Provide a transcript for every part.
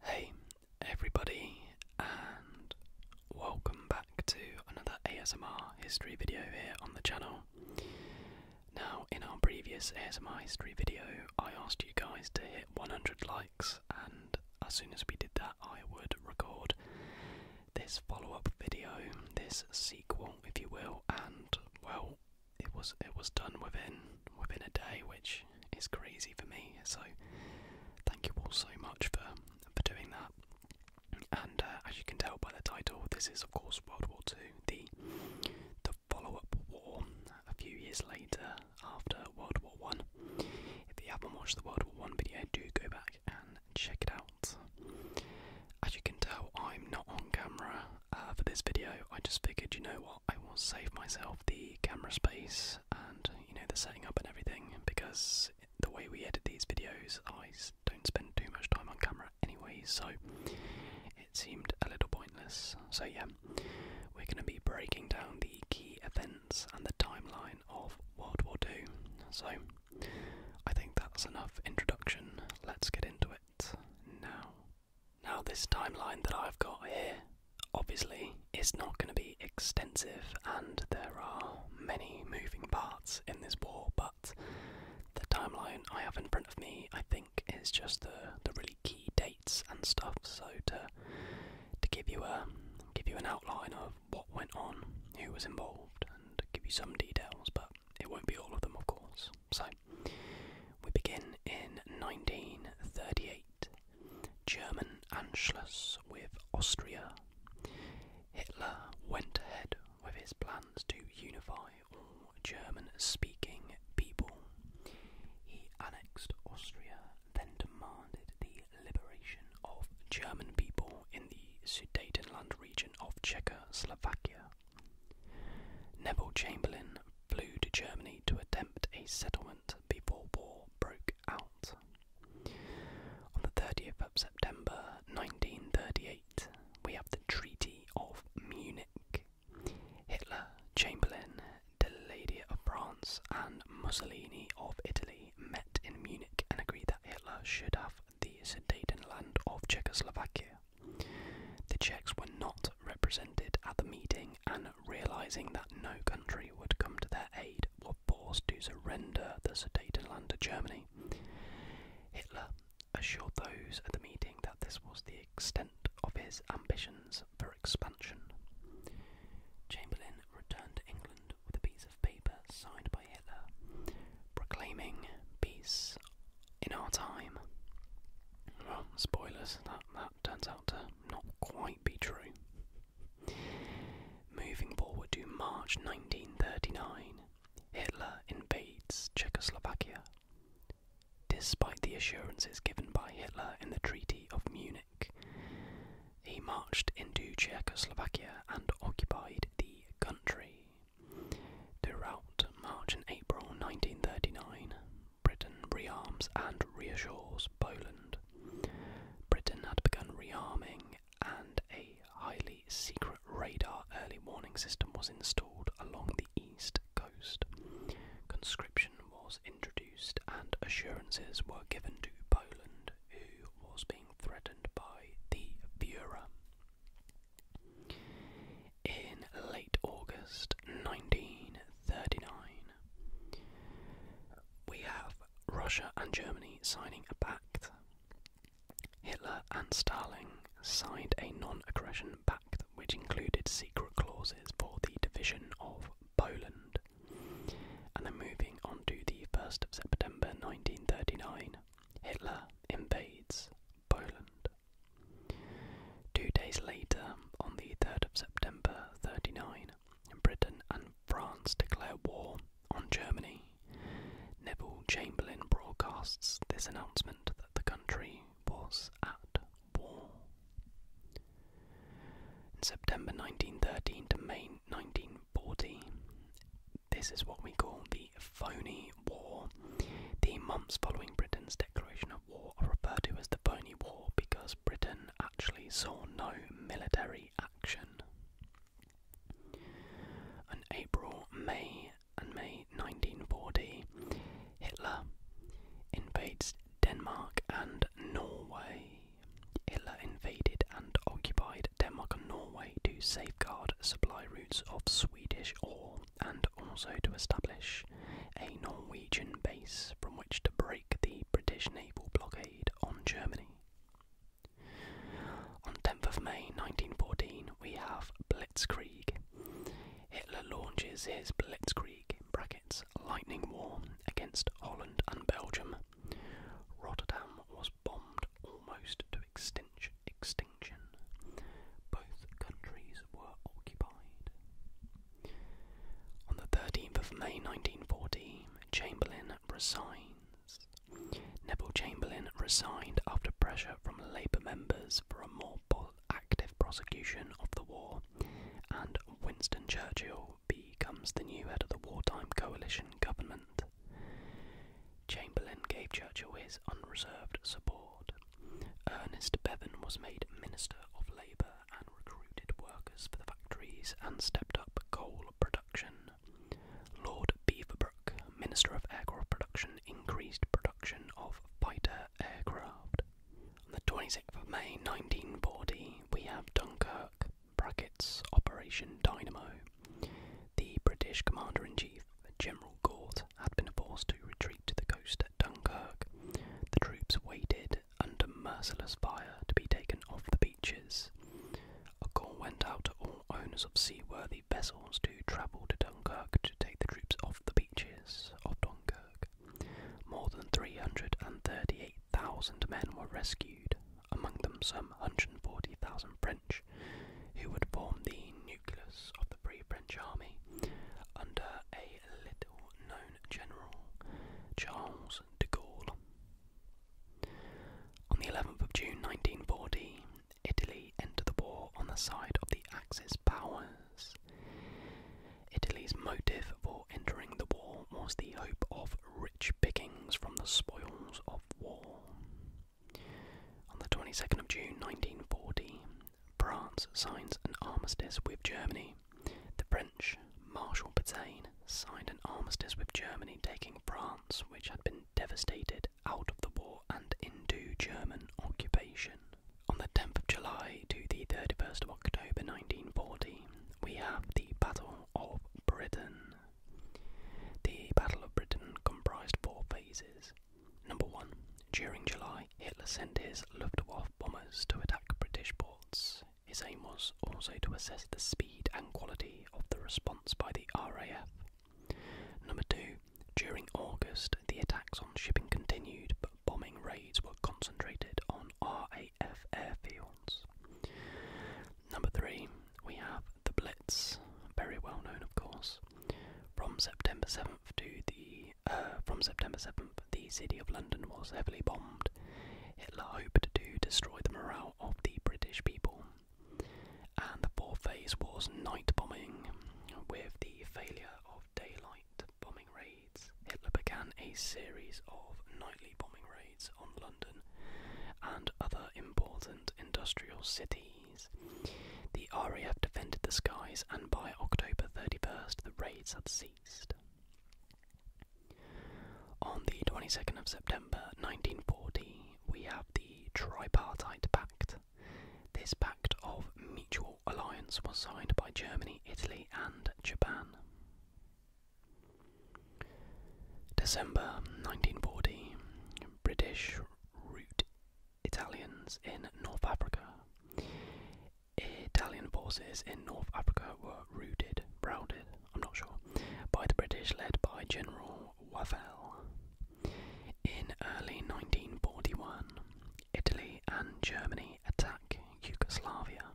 Hey everybody and welcome back to another ASMR history video here on the channel. Now in our previous ASMR history video I asked you guys to hit 100 likes and as soon as we did that I would record this follow-up video, this sequel if you will and well it was it was done within within a day which it's crazy for me. So thank you all so much for for doing that. And uh, as you can tell by the title, this is of course World War Two, the the follow-up war a few years later after World War One. If you haven't watched the World War One video, do go back and check it out. As you can tell, I'm not on camera uh, for this video. I just figured, you know what. I will save myself the camera space and you know the setting up and everything because the way we edit these videos, I don't spend too much time on camera anyway, so it seemed a little pointless. So yeah, we're going to be breaking down the key events and the timeline of World War II. So I think that's enough introduction. Let's get into it now. Now this timeline that I've got here obviously it's not going to be extensive and there are many moving parts in this war, but the timeline I have in front of me, I think, is just the, the really key dates and stuff. So to to give you a give you an outline of what went on, who was involved, and give you some details, but it won't be all of them, of course. So we begin in 1938 German Anschluss with Austria. Hitler went ahead with his plans to unify all German speaking people. He annexed Austria, then demanded the liberation of German people in the Sudetenland region of Czechoslovakia. Neville Chamberlain flew to Germany to attempt a settlement before war broke out. On the 30th of September 1938, we have the Treaty of Munich. Hitler, Chamberlain, Deledda of France, and Mussolini of Italy met in Munich and agreed that Hitler should have the Sudetenland of Czechoslovakia. The Czechs were not represented at the meeting and realizing that no country would come to their aid, were forced to surrender the Sudetenland to Germany. Hitler assured those at the meeting that this was the extent of his ambitions for expansion. Chamberlain returned to England with a piece of paper signed by Hitler, proclaiming peace in our time. spoilers, that, that turns out to not quite be true. Moving forward to March 1939, Hitler invades Czechoslovakia. Despite the assurances given by Hitler in the Treaty of Munich, he marched into Czechoslovakia and occupied the country. Throughout March and April 1939, Britain rearms and reassures Poland. Britain had begun rearming, and a highly secret radar early warning system was installed along the east coast. Conscription was introduced, and assurances were given to Poland, who was being threatened by the Fuhrer. In late August 1939, we have Russia and Germany signing a pact. Hitler and Stalin signed a non aggression pact which included secret clauses for the division of Poland. And then moving on to the 1st of September 1939, Hitler invades Poland. Two days later, on the 3rd of September 39, Britain and France declare war on Germany. Neville Chamberlain broadcasts this announcement that the country was at war. In September 1913 to May 1914, this is what we call the Phoney War. The months following Britain's declaration of war are referred to as the Phoney War because Britain actually saw no military action. In April, May, and May 1940, Hitler invades Denmark and Norway. Hitler invaded and occupied Denmark and Norway to safeguard supply routes of Swedish ore and also to establish a Norwegian base from which to break the British naval blockade on Germany. On 10th of May 1914, we have Blitzkrieg. Hitler launches his Blitzkrieg lightning war against Holland and Belgium. Rotterdam was bombed almost to extinction. Both countries were occupied. On the 13th of May 1914, Chamberlain resigns. Neville Chamberlain resigned after pressure from Labour members for a more active prosecution of the war, and Winston Churchill becomes the new head of the wartime coalition government. Chamberlain gave Churchill his unreserved support. Ernest Bevan was made Minister of Labour and recruited workers for the factories and stepped up coal production. Lord Beaverbrook, Minister of Aircraft Production, increased production of fighter aircraft. On the 26th of May 1940, we have Dunkirk, brackets, Operation Dynamo. The British Commander in Chief, General Gort, had been forced to retreat to the coast at Dunkirk. The troops waited under merciless fire to be taken off the beaches. A call went out to all owners of seaworthy vessels to travel to Dunkirk to take the troops off the beaches of Dunkirk. More than 338,000 men were rescued, among them some 140,000 French, who would form the nucleus of the pre French Army under a little known general, Charles de Gaulle. On the 11th of June 1940, Italy entered the war on the side of the Axis powers. Italy's motive for entering the war was the hope of rich pickings from the spoils of war. On the 22nd of June 1940, France signs an armistice with Germany. Marshal Pétain signed an armistice with Germany, taking France, which had been devastated, out of the war and into German occupation. On the 10th of July to the 31st of October 1940, we have the Battle of Britain. The Battle of Britain comprised four phases. Number one, during July, Hitler sent his Luftwaffe bombers to attack British ports. His aim was also to assess the speed and quality of the response by the RAF. Number two, during August, the attacks on shipping continued, but bombing raids were concentrated on RAF airfields. Number three, we have the Blitz, very well known, of course. From September 7th to the uh, from September 7th, the city of London was heavily bombed. Hitler hoped to destroy the morale of the British people. And the fourth phase was night bombing. With the failure of daylight bombing raids, Hitler began a series of nightly bombing raids on London and other important industrial cities. The RAF defended the skies, and by October 31st, the raids had ceased. On the 22nd of September 1940, we have the Tripartite Pact. This pact of mutual alliance was signed by Germany, Italy, and Japan. December 1940, British root Italians in North Africa. Italian forces in North Africa were routed, routed. I'm not sure, by the British led by General Wavell. In early 1941, Italy and Germany attack Yugoslavia.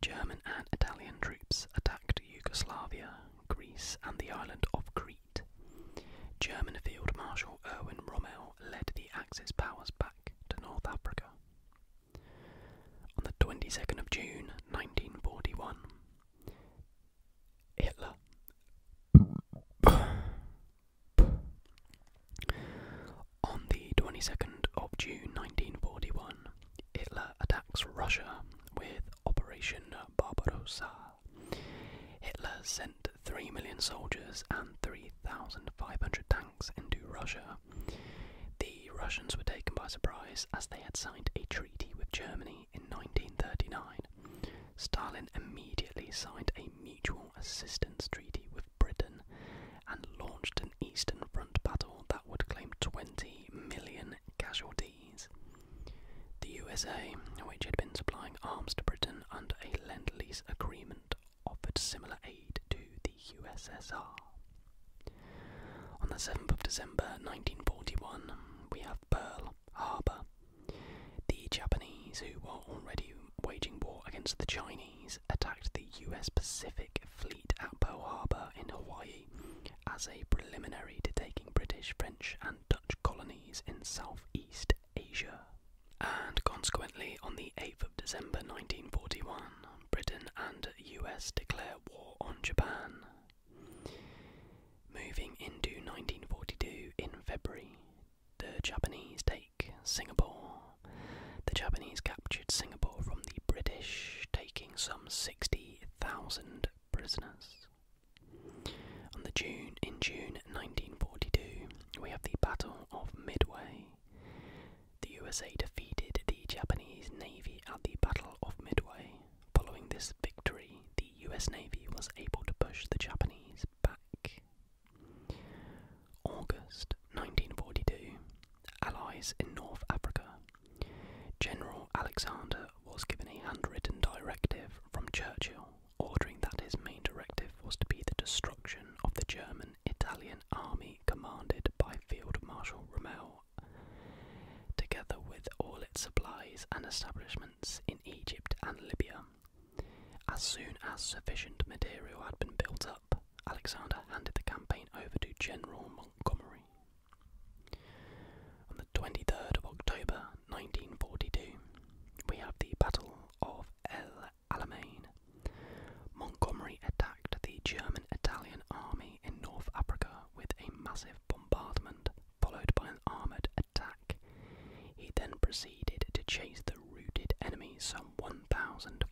German and Italian troops attacked Yugoslavia, Greece, and the island of Crete. German Field Marshal Erwin Rommel led the Axis powers back to North Africa. On the 22nd of June 1941, Hitler On the 22nd of June 1941, Hitler attacks Russia with Operation Barbarossa. Hitler sent 3 million soldiers and 3,500 tanks into Russia. The Russians were taken by surprise as they had signed a treaty with Germany in 1939. Stalin immediately signed a mutual assistance treaty with Britain and launched an Eastern Front battle that would claim 20 million casualties. The USA, which had been supplying arms to Britain under a Lend Lease agreement, offered similar aid to the USSR. On the 7th of December 1941, we have Pearl Harbor. The Japanese, who were already waging war against the Chinese, attacked the US Pacific Fleet at Pearl Harbor in Hawaii as a preliminary to taking British, French, and Dutch colonies in Southeast Asia. And consequently, on the 8th of December 1941, Britain and US declare war on Japan. Moving into 1942 in February, the Japanese take Singapore. The Japanese captured Singapore from the British, taking some 60,000 prisoners. On the June in June 1942, we have the Battle of Midway. The USA defeated the Japanese Navy at the Battle of Midway. Following this victory, the US Navy was able to push the Japanese back. August 1942, Allies in North Africa. General Alexander was given a handwritten directive from Churchill ordering that his main directive was to be the destruction of the German Italian army commanded by Field Marshal Rommel together with all its supplies and establishments in Egypt and Libya. As soon as sufficient material had been built up, Alexander handed the campaign over to General Montgomery. On the 23rd of October 1942, we have the Battle of El Alamein. Montgomery attacked the German Italian army in North Africa with a massive bombardment followed by an armoured attack. He then proceeded to chase the routed enemy some 1,500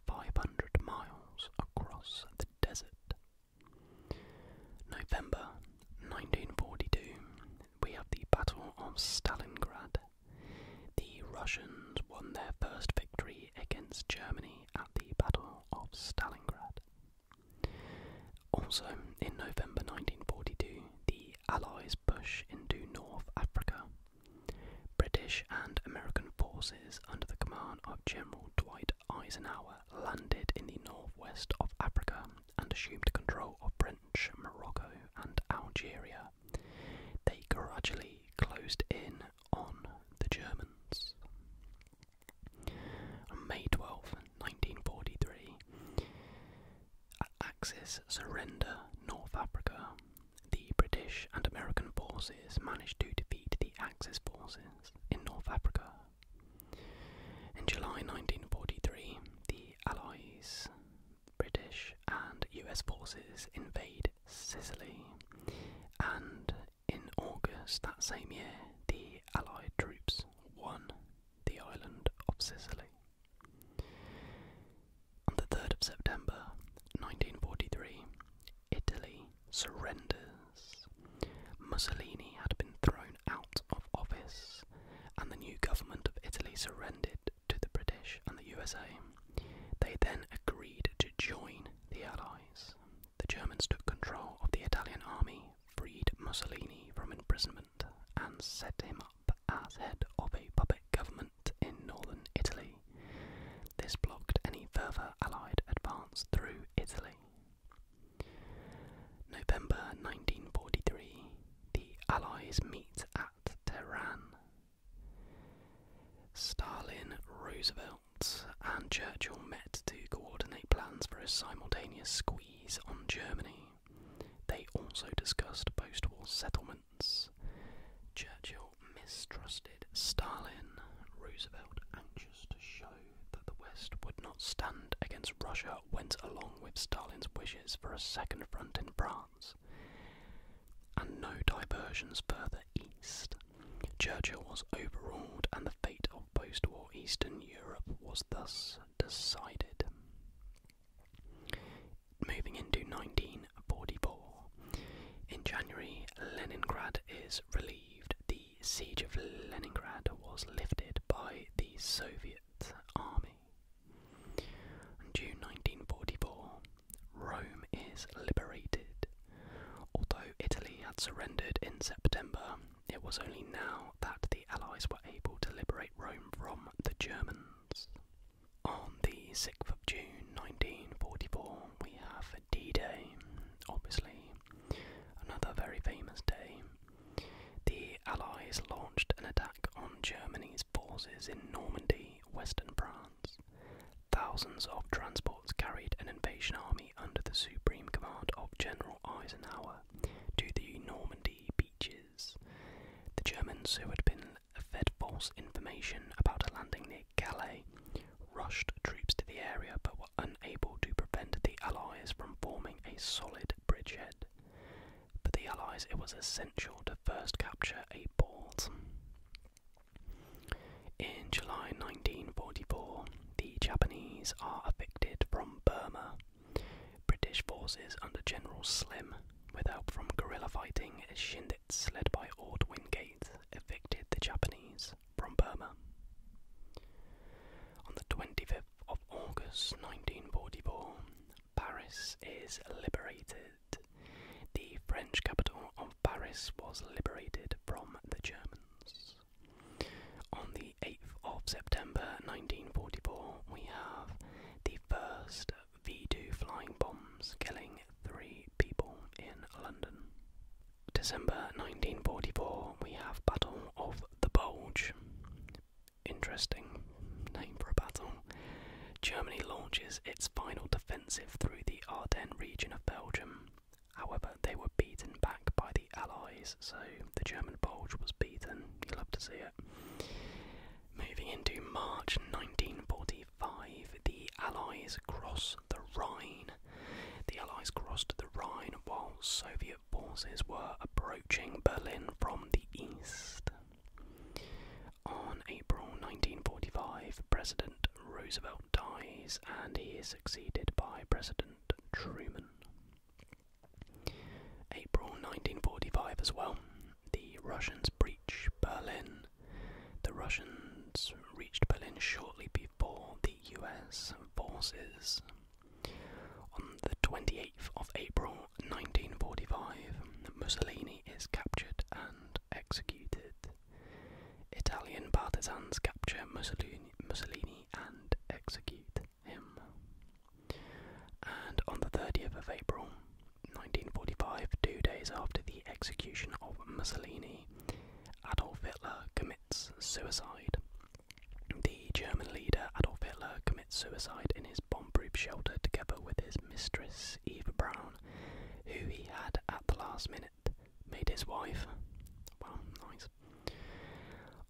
miles across the desert. November 1942, we have the Battle of Stalingrad. The Russians won their first victory against Germany at the Battle of Stalingrad. Also, in November 1942, the Allies pushed into North Africa. British and American forces under the command of General Dwight Eisenhower landed in the northwest of Africa and assumed control of French Morocco and Algeria. They gradually closed in on the Germans. May twelfth, 1943, Axis surrender North Africa. The British and American forces managed to defeat the Axis forces in North Africa. In July 1943, the Allies, British and US forces invade Sicily, and in August that same year, the Allied troops won the island of Sicily. On the 3rd of September 1943, Italy surrenders. Mussolini had been thrown out of office, and the new government of Italy surrendered to the British and the USA. They then agreed to join the Allies. The Germans took control of the Italian army freed Mussolini from imprisonment and set him up as head of a puppet government in northern Italy. This blocked any further Allied advance through Italy. November 1943, the Allies meet at Tehran. Stalin, Roosevelt, and Churchill met to coordinate plans for a simultaneous squeeze on Germany. They also discussed post war settlements. Churchill mistrusted Stalin, Roosevelt anxious to show that the West would not stand against Russia went along with Stalin's wishes for a second front in France, and no diversions further east. Churchill was overawed, and the fate of post war Eastern Europe was thus decided. Moving into 1944. In January, Leningrad is relieved. The siege of Leningrad was lifted by the Soviet army. In June 1944, Rome is liberated. Although Italy had surrendered in September, it was only now that the Allies were able to liberate Rome from the Germans. On the 6th of June 1944, we have D Day, obviously, another very famous day. The Allies launched an attack on Germany's forces in Normandy, western France. Thousands of transports carried an invasion army under the supreme command of General Eisenhower to the Normandy beaches. The Germans, who had been fed false information about a landing near Calais, rushed troops to the area but were unable to prevent the Allies from forming a solid bridgehead. For the Allies, it was essential to first capture a port. In July 1944, the Japanese are evicted from Burma. British forces under General Slim, with help from guerrilla fighting Shindits led by Ord Wingate, evicted the Japanese from Burma. On the 25th of August 1944, Paris is liberated. The French capital of Paris was liberated from the Germans. On the 8th of September 1944, we have the first V 2 flying bombs killing three people in London. December 1944, we have Battle of the Bulge. Interesting name for a battle. Germany launches its final defensive through the Ardennes region of Belgium. However, they were beaten back by the Allies, so the German Bulge was beaten. You love to see it. Moving into March 1945, the Allies crossed the Rhine. The Allies crossed the Rhine while Soviet forces were approaching Berlin from the east. On April 1945, President Roosevelt dies and he is succeeded by President Truman. April 1945 as well, the Russians breach Berlin. The Russians reached Berlin shortly before the US forces. On the 28th of April 1945, Mussolini is captured and executed. Italian partisans capture Mussolini and execute him. And on the 30th of April 1945, two days after the execution of Mussolini, Adolf Hitler commits suicide. The German leader Adolf Hitler commits suicide in his bomb-proof shelter together with his mistress Eva Braun, who he had at the last minute made his wife. Well, nice.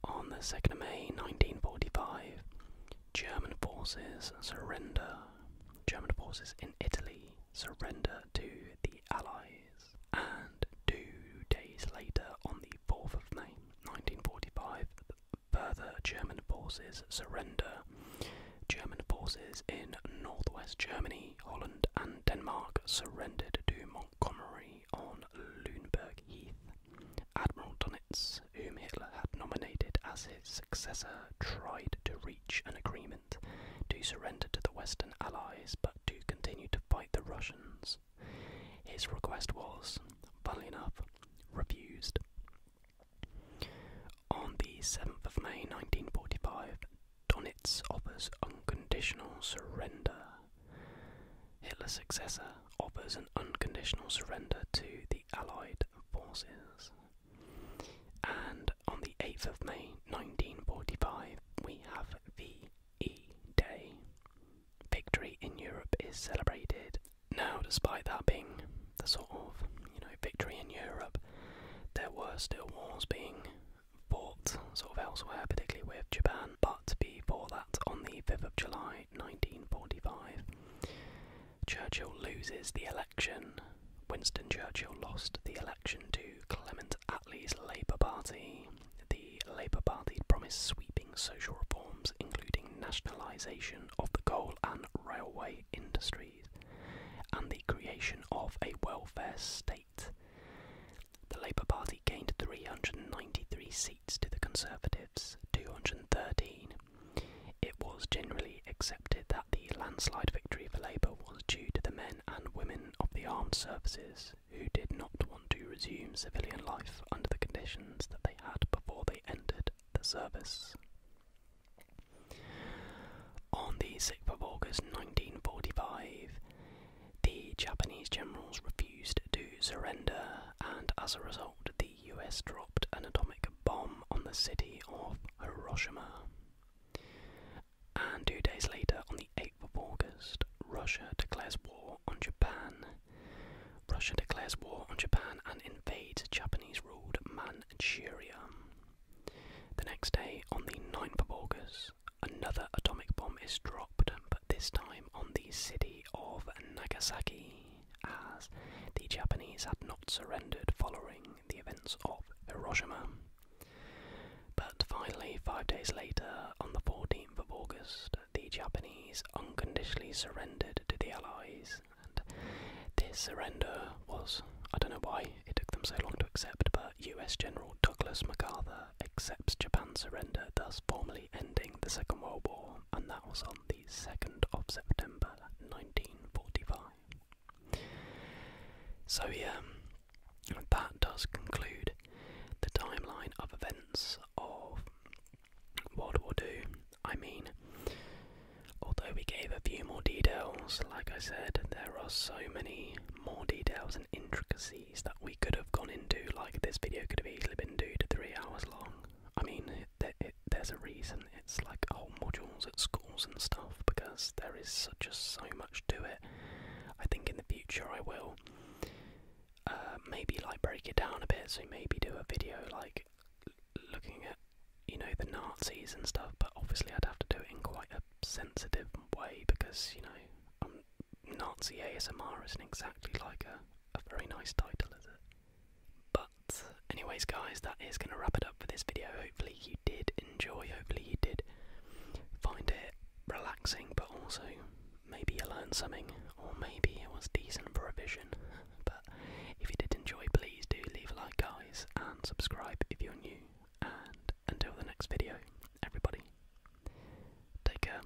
On the 2nd of May 1945, German forces surrender. German forces in Italy surrender to the Allies. And two days later, on the 4th of May 1945, further German forces surrender. German forces in northwest Germany, Holland, and Denmark surrendered to Montgomery on Luneburg Heath Admiral Donitz, whom Hitler had nominated as his successor, tried to reach an agreement to surrender to the Western Allies but to continue to fight the Russians. His request was, funnily enough, refused. On the 7th of May 1945, Donitz offers unconditional surrender Hitler's successor offers an unconditional surrender to the Allied forces. And on the 8th of May 1945, we have the e Day. Victory in Europe is celebrated. Now, despite that being the sort of, you know, victory in Europe, there were still wars being fought sort of elsewhere, particularly with Japan but before that, on the 5th of July 1945, Churchill loses the election. Winston Churchill lost the election to Clement Attlee's Labour Party. The Labour Party promised sweeping social reforms, including nationalisation of the coal and railway industries and the creation of a welfare state. The Labour Party gained 393 seats to the Conservatives, 213. It was generally accepted that the landslide victory for Labour was due to the men and women of the armed services who did not want to resume civilian life under the conditions that they had before they entered the service. On the 6th of August 1945, the Japanese generals refused refused to surrender, and as a result, the US dropped an atomic bomb on the city of Hiroshima. And two days later, on the 8th of August, Russia declares war on Japan. Russia declares war on Japan and invades Japanese ruled Manchuria. The next day, on the 9th of August, another atomic bomb is dropped, this time on the city of Nagasaki, as the Japanese had not surrendered following the events of Hiroshima. But finally, five days later, on the 14th of August, the Japanese unconditionally surrendered to the Allies, and this surrender was, I don't know why it took them so long to accept, but US General Douglas MacArthur accepts Japan's surrender, thus formally ending the Second World War, that was on the 2nd of September 1945. So, yeah, that does conclude the timeline of events of World War II. I mean, although we gave a few more details, like I said, there are so many more details and intricacies that we could have gone into, like this video could have easily been two to three hours long. I mean, there's a reason it's like whole modules at schools and stuff because there is just so much to it. I think in the future I will uh, maybe like break it down a bit, so maybe do a video like looking at you know the Nazis and stuff. But obviously I'd have to do it in quite a sensitive way because you know um, Nazi ASMR isn't exactly like a a very nice title, is it? But, anyways, guys, that is going to wrap it up for this video. Hopefully, you did enjoy. Hopefully, you did find it relaxing, but also maybe you learned something, or maybe it was decent for revision. But if you did enjoy, please do leave a like, guys, and subscribe if you're new. And until the next video, everybody, take care.